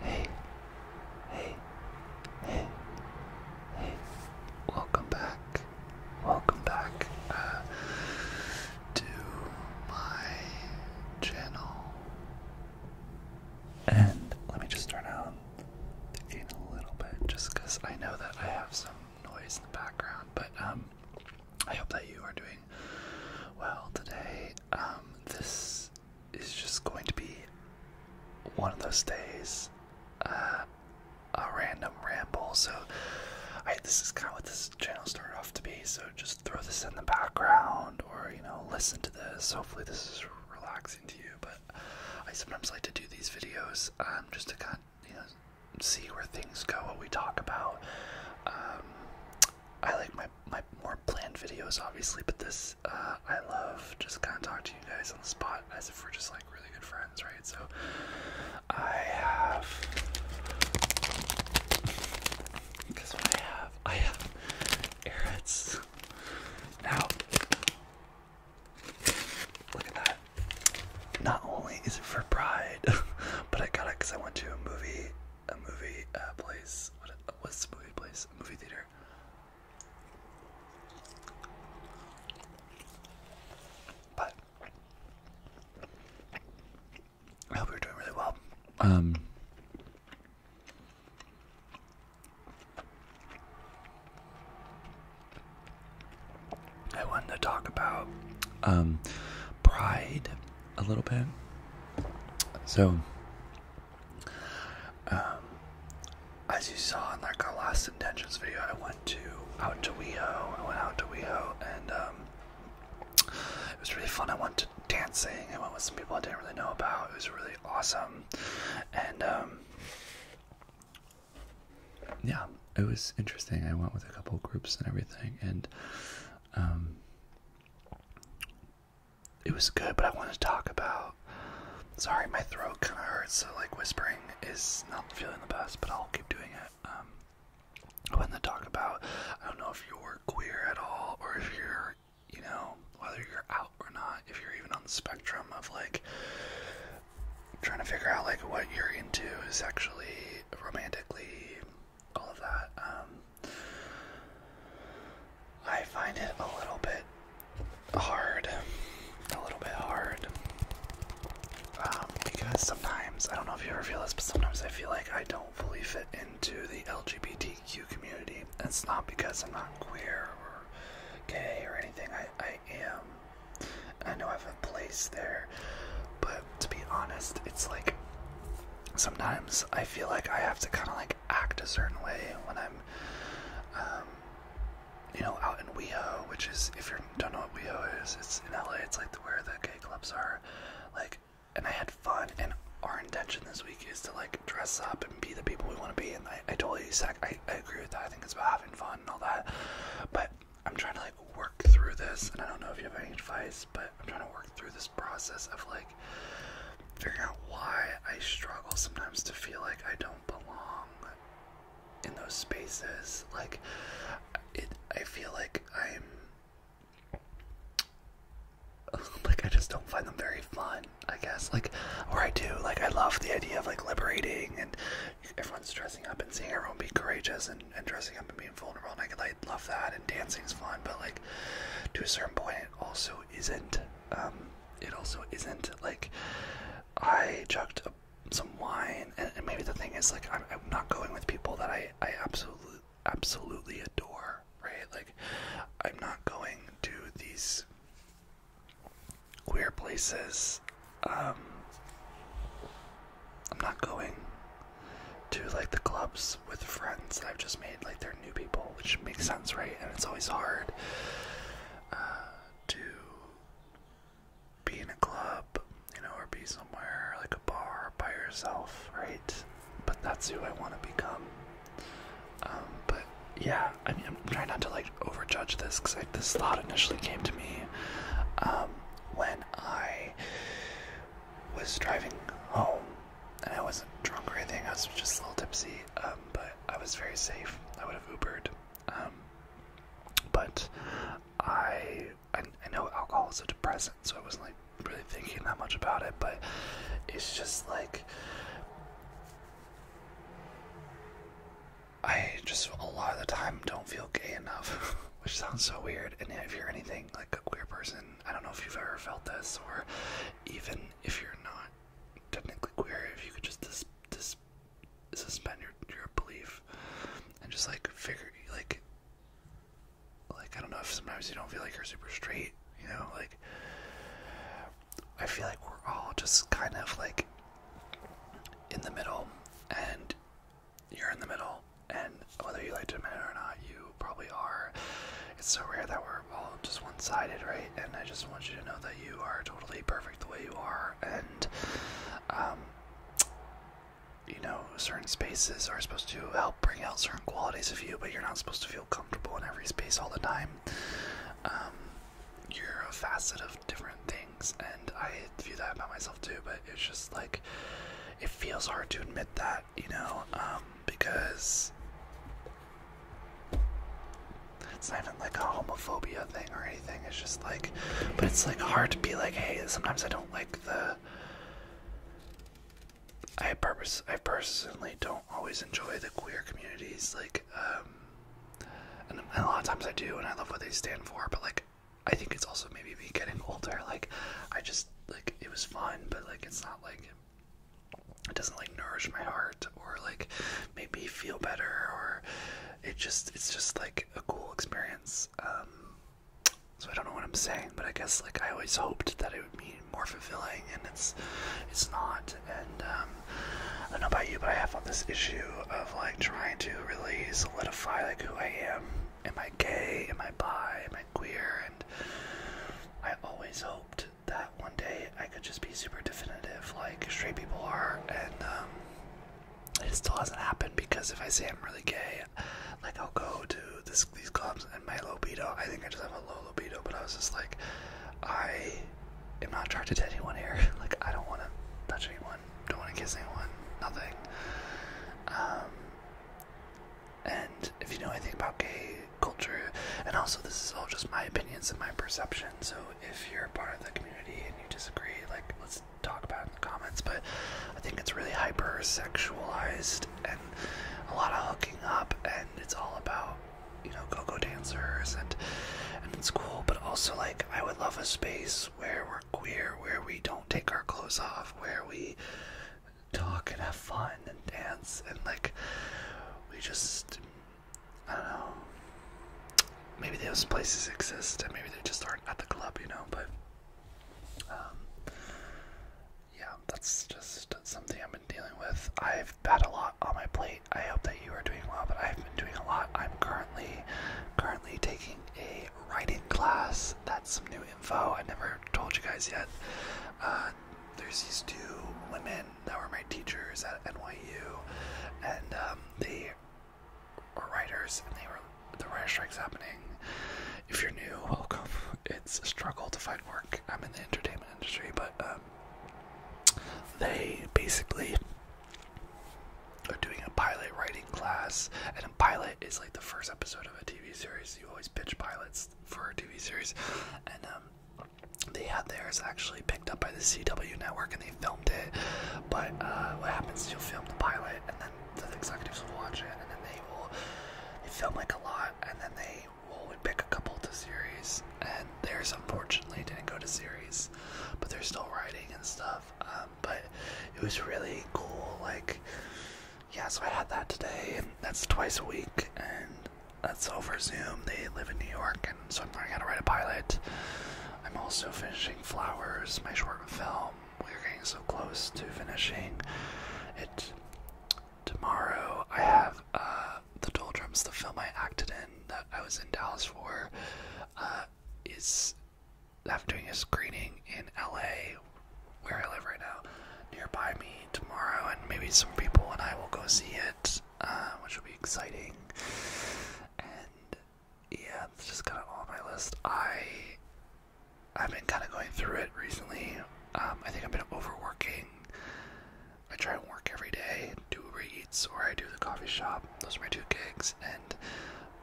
Hey, hey, hey, hey, welcome back, welcome back uh, to my channel. And let me just turn out the a little bit just because I know that I have some noise in the background, but um, I hope that you are doing well today. Um, this is just going to be one of those days, uh, a random ramble. So, this is kind of what this channel started off to be. So, just throw this in the background, or you know, listen to this. Hopefully, this is relaxing to you. But I sometimes like to do these videos um, just to kind, of, you know, see where things go, what we talk about. Um, I like my my more planned videos, obviously, but this uh, I love just kind of talking to you guys on the spot as if we're just like really good friends, right? So I have because what I have, I have Airheads now. Look at that. Not only is it for Pride, but I got it because I went to a movie a movie uh, place. what's the movie place? A movie theater. But I hope you're doing really well. Um. I wanted to talk about um, pride a little bit. So, um, as you saw in like our last intentions video, I went to out to WeHo. I went out to WeHo, and um, it was really fun. I went to dancing. I went with some people I didn't really know about. It was really awesome, and um, yeah, it was interesting. I went with a couple groups and everything, and it was good, but I want to talk about. Sorry, my throat kind of hurts, so like whispering is not feeling the best, but I'll keep doing it. Um, I want to talk about. I don't know if you're queer at all, or if you're, you know, whether you're out or not, if you're even on the spectrum of like trying to figure out like what you're into is actually romantically all of that. Um, I find it a little bit hard, a little bit hard, um, because sometimes, I don't know if you ever feel this, but sometimes I feel like I don't fully fit into the LGBTQ community. It's not because I'm not queer or gay or anything, I, I am, I know I have a place there, but to be honest, it's like, sometimes I feel like I have to kind of like act a certain way when I'm, um, you know, out in WeHo, which is if you don't know what WeHo is, it's in LA. It's like where the gay clubs are, like. And I had fun, and our intention this week is to like dress up and be the people we want to be. And I, I totally sac I, I agree with that. I think it's about having fun and all that. But I'm trying to like work through this, and I don't know if you have any advice, but I'm trying to work through this process of like like out why I struggle sometimes to feel like I don't belong in those spaces. Like it I feel like I'm like I just don't find them very fun, I guess. Like or I do. Like I love the idea of like liberating and everyone's dressing up and seeing everyone be courageous and, dressing up and being vulnerable and I, I love that and dancing is fun, but like to a certain point it also isn't. Um, it also isn't like I chucked a, some wine, and, maybe the thing is like I'm, not going with people that I I absolutely absolutely adore, right? Like I'm not going to these queer places. Um, I'm not going to like the clubs with friends I've just made, like they're new people, which makes sense, right? And it's always hard uh, to be in a club, you know, or be somewhere like a bar by yourself, right? But that's who I want to become. Um, but yeah, I mean, I'm trying not to like overjudge this because this thought initially came to me um, when I was driving home and I wasn't drunk or anything. I was just a little tipsy, um, but I was very safe. I would have Ubered, um, but I, I I know alcohol is a depressant, so I wasn't like really thinking that much about it. But it's just like I just a lot of the time don't feel gay enough, which sounds so weird. And if you're anything like a queer person, I don't know if you've ever felt this, or even if you're not technically queer, if you could just dis dis suspend your your belief and just like figure like like I don't know if sometimes you don't feel like you're super straight, you know, like I feel like we're all just kind of like in the middle and you're in the middle and whether you like to admit it or not, you probably are. It's so rare that we're all just one sided, right? And I just want you to know that you are totally perfect the way you are. And, um, you know, certain spaces are supposed to help bring out certain qualities of you, but you're not supposed to feel comfortable in every space all the time. Um, you're a facet of different things, and I view that about myself too, but it's just like it feels hard to admit that, you know. Um, because it's not even like a homophobia thing or anything. It's just like, but it's like hard to be like, hey, sometimes I don't like the. I purpose. I personally don't always enjoy the queer communities, like, um, and, and a lot of times I do, and I love what they stand for. But like, I think it's also maybe me getting older. Like, I just like it was fun, but like it's not like it doesn't like nourish my heart or like make me feel better or it just it's just like a cool experience um so i don't know what i'm saying but i guess like i always hoped that it would be more fulfilling and it's it's not and um i don't know about you but i have on this issue of like trying to really solidify like who i am am i gay am i bi am i queer and i always hoped that one day I could just be super definitive, like straight people are, and um, it still hasn't happened because if I say I'm really gay, like I'll go to these clubs and my libido, I think I just have a low libido, but I was just like, I am not trying to anyone here. like, I don't want to touch anyone, don't want to kiss anyone, nothing. Um, and if you know anything about gay culture, and also this is all just my opinions and my perception, so if you're part of the community and you disagree, like let's talk about it in the comments. But I think it's really hyper sexualized and a lot of hooking up, and it's all about you know go-go dancers and and it's cool. But also like I would love a space where we're queer, where we don't take our clothes off, where we talk and have fun and dance and like we just I don't know. Maybe those places exist and maybe they just aren't at the club, you know, but um, yeah, that's just something I've been dealing with. I've had a lot on my plate. I hope that you are doing well, but I've been doing a lot. I'm currently currently taking a writing class. That's some new info. I never told you guys yet. Uh, there's these two women that were my teachers at NYU, and um, they were writers, and they were the writers strike's happening. If you're new, welcome. It's a struggle to find work. I'm in the entertainment industry, but um, they basically are doing a pilot writing class, and a pilot is like the first episode of a TV series. You always pitch pilots for a TV series, and um, they had theirs actually picked up by the CW network and they filmed it. But uh, what happens is you'll film the pilot, and then the executives will watch it, and then they will they film like a lot, and then they will pick a couple to series. And theirs unfortunately didn't go to series, but they're still writing and stuff. Um, but it was really cool, like yeah, so I had that today. That's twice a week, and that's over Zoom. They live in New York, and so I'm learning how to write a pilot. I'm also finishing Flowers, my short film. We're getting so close to finishing it. Tomorrow, I have uh, The Doldrums, the film I acted in that I was in Dallas for, uh, is. after doing a screening in LA where I live right now, nearby me tomorrow, and maybe some people and I will go see it, uh, which will be exciting. And yeah, it's just kind of on my list. I I've been kind of going through it recently. Um, I think I've been overworking. I try and work every day, do reads, or I do the coffee shop. Those are my two gigs, and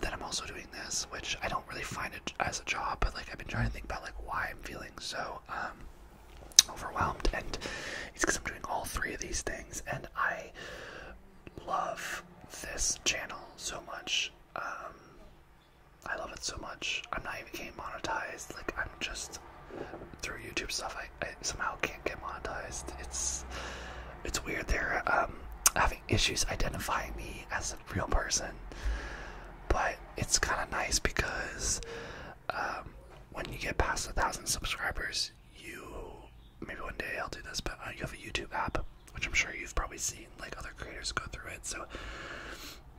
then I'm also doing this, which I don't really find it as a job, but like I've been trying to think about like why I'm feeling so um, overwhelmed, and it's because I'm doing all three of these things, and I love this channel so much. Um, I love it so much. I'm not even getting monetized. Like I'm just through YouTube stuff. I, somehow can't get monetized. It's it's weird. They're um, having issues identifying me as a real person, but it's kind of nice because um, when you get past a thousand subscribers, you maybe one day I'll do this, but uh, you have a YouTube app, which I'm sure you've probably seen like other creators go through it. So,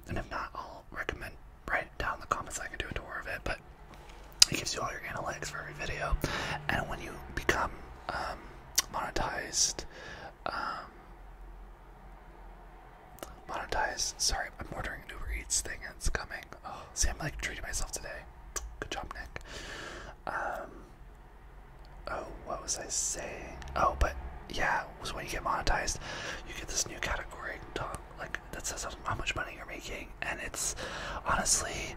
and if not, I'll recommend write down in the comments. I can do a tour of it, but it gives you all your analytics for every video. And when you become um, monetized, um, Monetize. Sorry, I'm ordering a Uber Eats thing and it's coming. Oh, see, I'm like treating myself today. Good job, Nick. Um. Oh, what was I saying? Oh, but yeah, was when you get monetized, you get this new category like that says how much money you're making, and it's honestly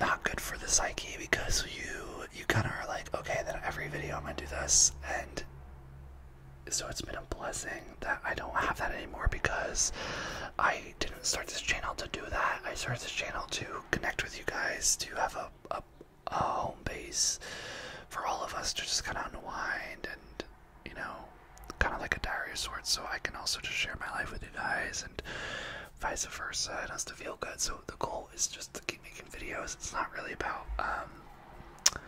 not good for the psyche because you you kind of are like, okay, then every video I'm gonna do this, and so it's been a blessing that I don't have that anymore because I didn't start this channel to do that. I started this channel to connect with you guys, to have a, a, home base for all of us to just kind of unwind and, you know, kind of like a diary sort. So I can also just share my life with you guys and vice versa It has to feel good. So the goal is just to keep making videos. It's not really about, um,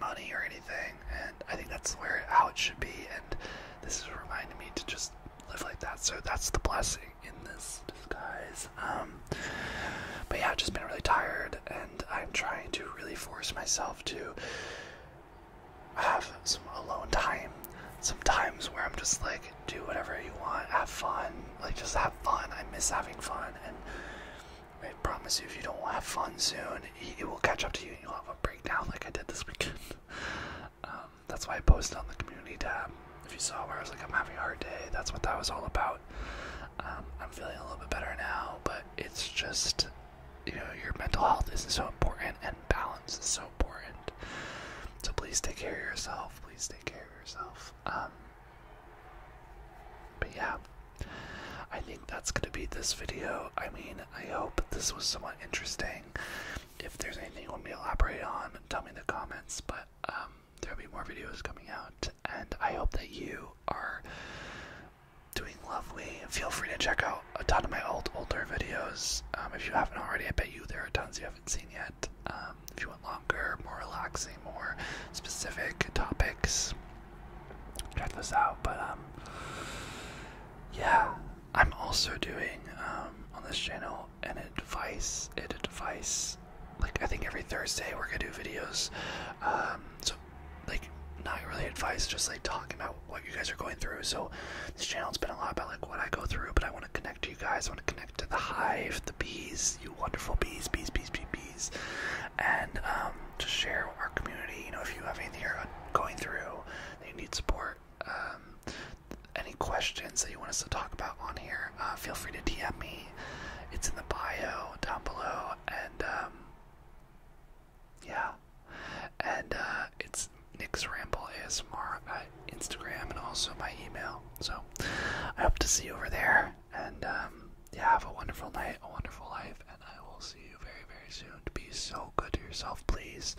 money or anything, and I think that's where how it should be. And this is reminding me to just live like that. So that's the blessing in this disguise. Um, but yeah, just been really tired, and I'm trying to really force myself to have some alone time. Some times where I'm just like, do whatever you want, have fun, like just have fun. I miss having fun, and I promise you, if you don't have fun soon, it will catch up to you and you'll have a breakdown like I did this weekend. Um, that's why I posted on the community tab. If you saw where I was like, I'm having a hard day, that's what that was all about. Um, I'm feeling a little bit better now, but it's just, you know, your mental health is so important and balance is so important. So please take care of yourself. Please take care of yourself. Um, but yeah, I think that's going to be this video. I mean, I hope this was somewhat interesting. If there's anything you want me to elaborate on, tell me in the comments. But um, there'll be more videos coming out, and I hope that you are doing lovely. Feel free to check out a ton of my old older videos um, if you haven't already. I bet you there are tons you haven't seen yet. Um, if you want more relaxing, more specific topics. Check this out, but um, yeah, I'm also doing um, on this channel an advice, an advice. Like I think every Thursday we're gonna do videos. Um, so like not really advice, just like talking about what you guys are going through. So this channel's been a lot about like what I go through, but I want to connect to you guys. I want to connect to the hive, the bees, you wonderful bees, bees, bees, bees, bees. And um, to share our community, you know, if you have anything going through you need support, um, any questions that you want us to talk about on here, uh, feel free to DM me. It's in the bio down below, and um, yeah, and uh, it's Nick's Ramble ASMR at Instagram and also my email. So I hope to see you over there. And um, yeah, have a wonderful night, a wonderful life, and I will see you very, very soon. Be so good to yourself, please.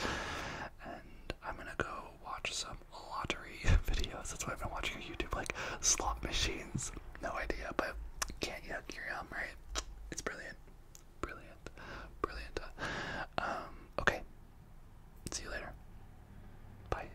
And I'm gonna go watch some lottery videos. That's why I've been watching YouTube, like slot machines. No idea, but can't yuck your yum, right? It's brilliant. Brilliant. Brilliant. Um, okay. See you later. Bye.